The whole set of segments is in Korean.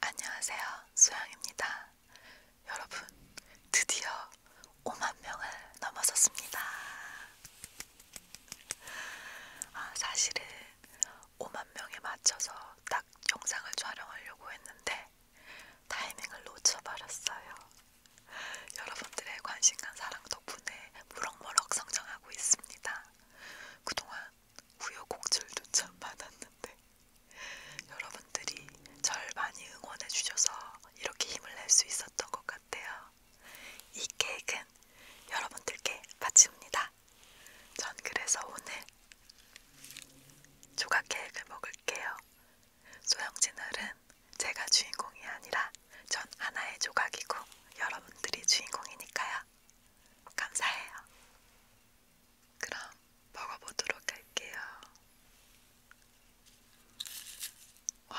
안녕하세요. 수영입니다. 여러분, 드디어 5만 명을 넘어섰습니다. 아, 사실은 5만 명에 맞춰서 딱 영상을 촬영하려고 했는데 타이밍을 놓쳐버렸어요. 여러분들의 관심과 사랑 덕분에 무럭무럭 성장하고 있습니다. 그동안 우여곡절도 참 많았는데 여러분들이 절 많이 응원해 주셔서 이렇게 힘을 낼 수 있었던 것 같아요. 이 케이크는 여러분들께 바칩니다. 전 그래서 오늘 조각 케이크를 먹을게요. 소영진얼은 제가 주인공이 아니라 전 하나의 조각이고 여러분들이 주인공이니까요. 감사해요. 그럼 먹어보도록 할게요. 와.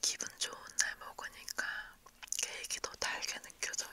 기분 좋은 날 먹으니까 케이크 더 달게 느껴져요.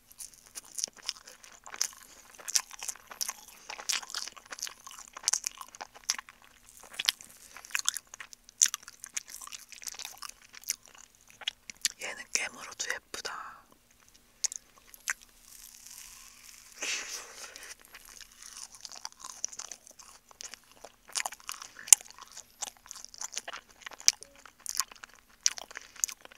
얘는 깨물어도 예쁘다.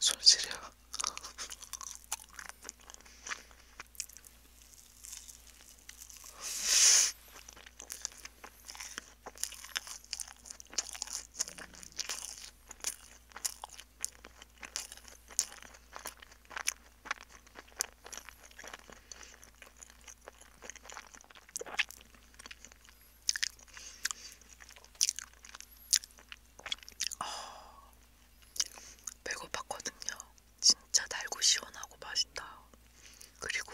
손실이야. 어, 배고팠거든요. 진짜 달고 시원하고 맛있다. 그리고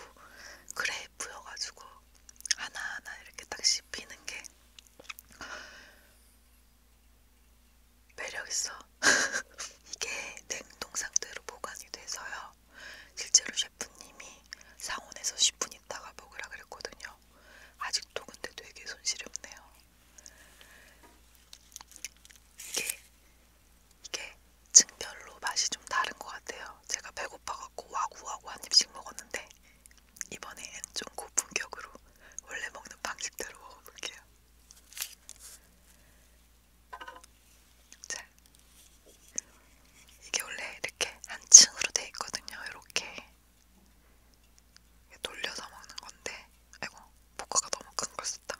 그래 부여가지고 하나하나 이렇게 딱 씹히는 게 매력있어. 이게 냉동 상태로 보관이 돼서요. 실제로 셰프님이 상온에서 10분 있다가 먹으라 그랬거든요. 아직도 근데 되게 손실이 없네요. 이게, 이게 층별로 맛이 좀 다른 것 같아요. 제가 배고파갖고 와구와구 한 입씩 먹었는데 이번엔 좀 고품격으로 원래 먹는 방식대로 먹어볼게요. 자, 이게 원래 이렇게 한 층으로 돼 있거든요. 이렇게 돌려서 먹는 건데, 아이고 포크가 너무 큰걸 썼다.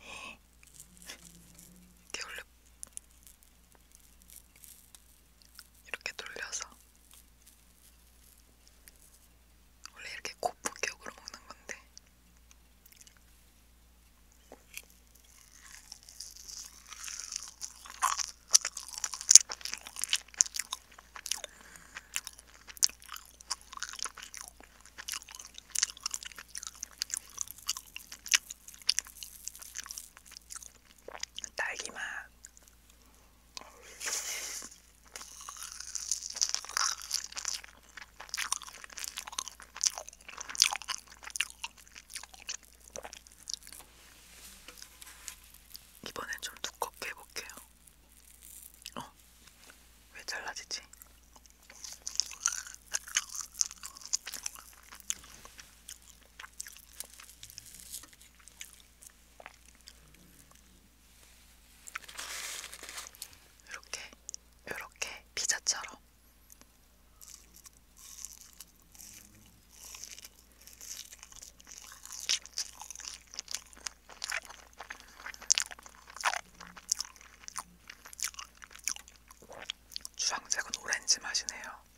이게 원래 이렇게 돌려서 원래 이렇게 고품격으로 먹는 건데 딸기맛 이번엔 좀 두껍게 해볼게요. 어? 왜 잘라지지? 이렇게 이렇게 피자처럼 주황색은 오렌지 맛이네요. 여기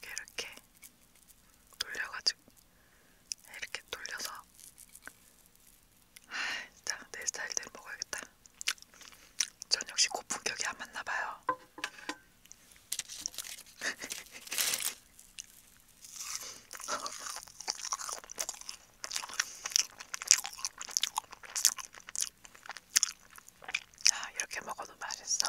이렇게 돌려가지고 이렇게 돌려서 아, 진짜 내 스타일대로 먹어야겠다. 전 역시 고품격이 안 맞나 봐요. 아, 이렇게 먹어도 맛있어.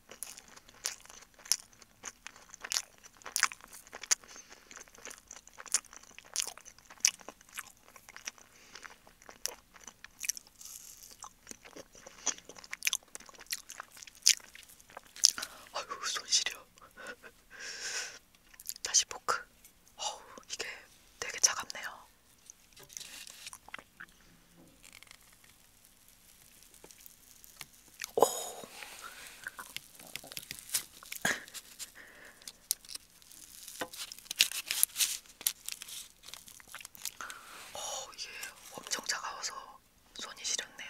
아유 손 시려. 다시 포크. 어우 이게 되게 차갑네요. 오. 어, 이게 엄청 차가워서 손이 시렸네요.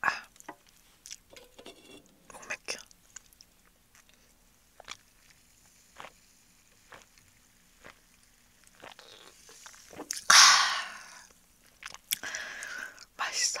아, 목 맥혀. 아, 맛있어.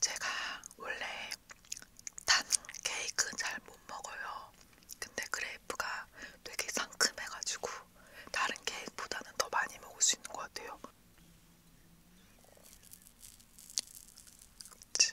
제가 원래 단 케이크 잘 못 먹어요. 근데 그레이프가 되게 상큼해가지고 다른 케이크보다는 더 많이 먹을 수 있는 것 같아요. 그치?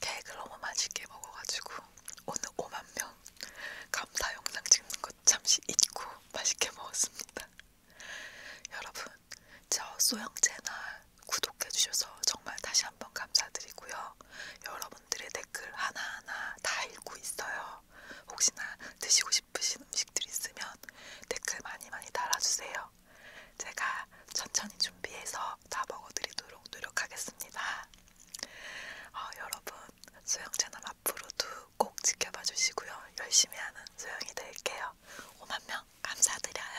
케이크를 너무 맛있게 먹어가지고 오늘 5만명 감사 영상 찍는 것 잠시 잊고 맛있게 먹었습니다. 여러분 저 소영 채널 구독해주셔서 정말 다시 한번 감사드리고요. 여러분들의 댓글 하나하나 다 읽고 있어요. 혹시나 드시고 싶으신 음식들 있으면 댓글 많이 많이 달아주세요. 제가 천천히 준비해서 다 먹어드리도록 노력하겠습니다. 어, 여러분 소영 채널 앞으로도 꼭 지켜봐 주시고요. 열심히 하는 소영이 될게요. 5만 명 감사드려요.